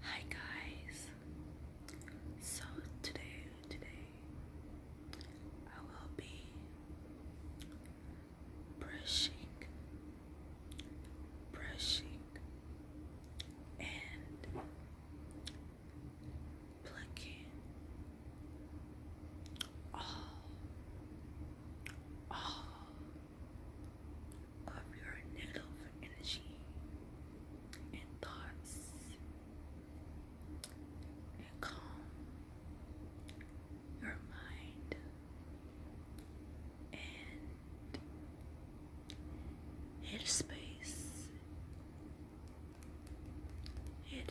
Hi guys. So today, today I will be brushing, brushing, and plucking all, all, of your negative energy and thoughts and calm your mind and head space head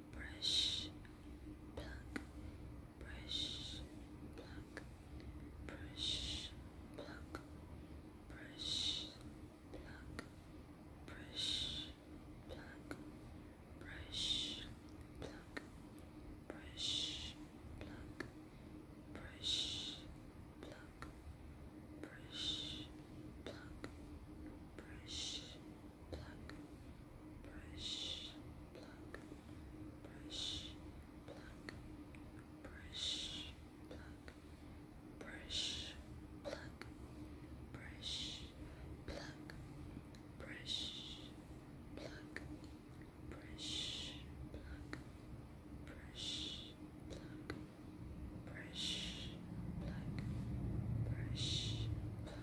brush, pluck, brush, pluck, brush, pluck, brush, pluck, brush, pluck, brush, pluck, brush, pluck, brush, pluck, brush, pluck, brush, pluck, brush, pluck, brush, pluck, brush, pluck, brush, pluck, brush, pluck, brush, pluck, brush, pluck, brush, pluck, brush, pluck, brush, pluck.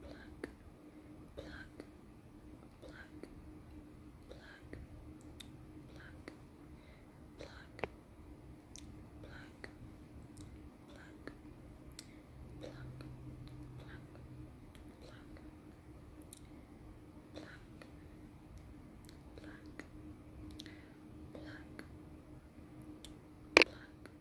pluck, pluck, pluck, pluck, pluck, pluck, pluck, pluck, pluck, pluck, pluck, pluck. Black, black, black.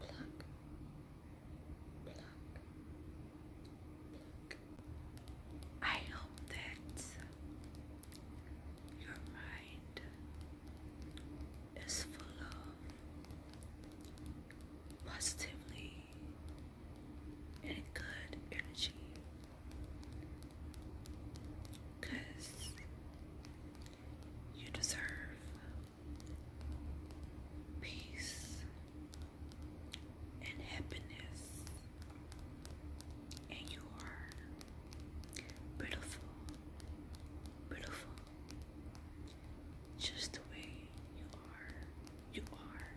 pluck, pluck, pluck. I hope that your mind is full of positively and good energy because you deserve peace and happiness, and you are beautiful, beautiful, just the way you are. You are.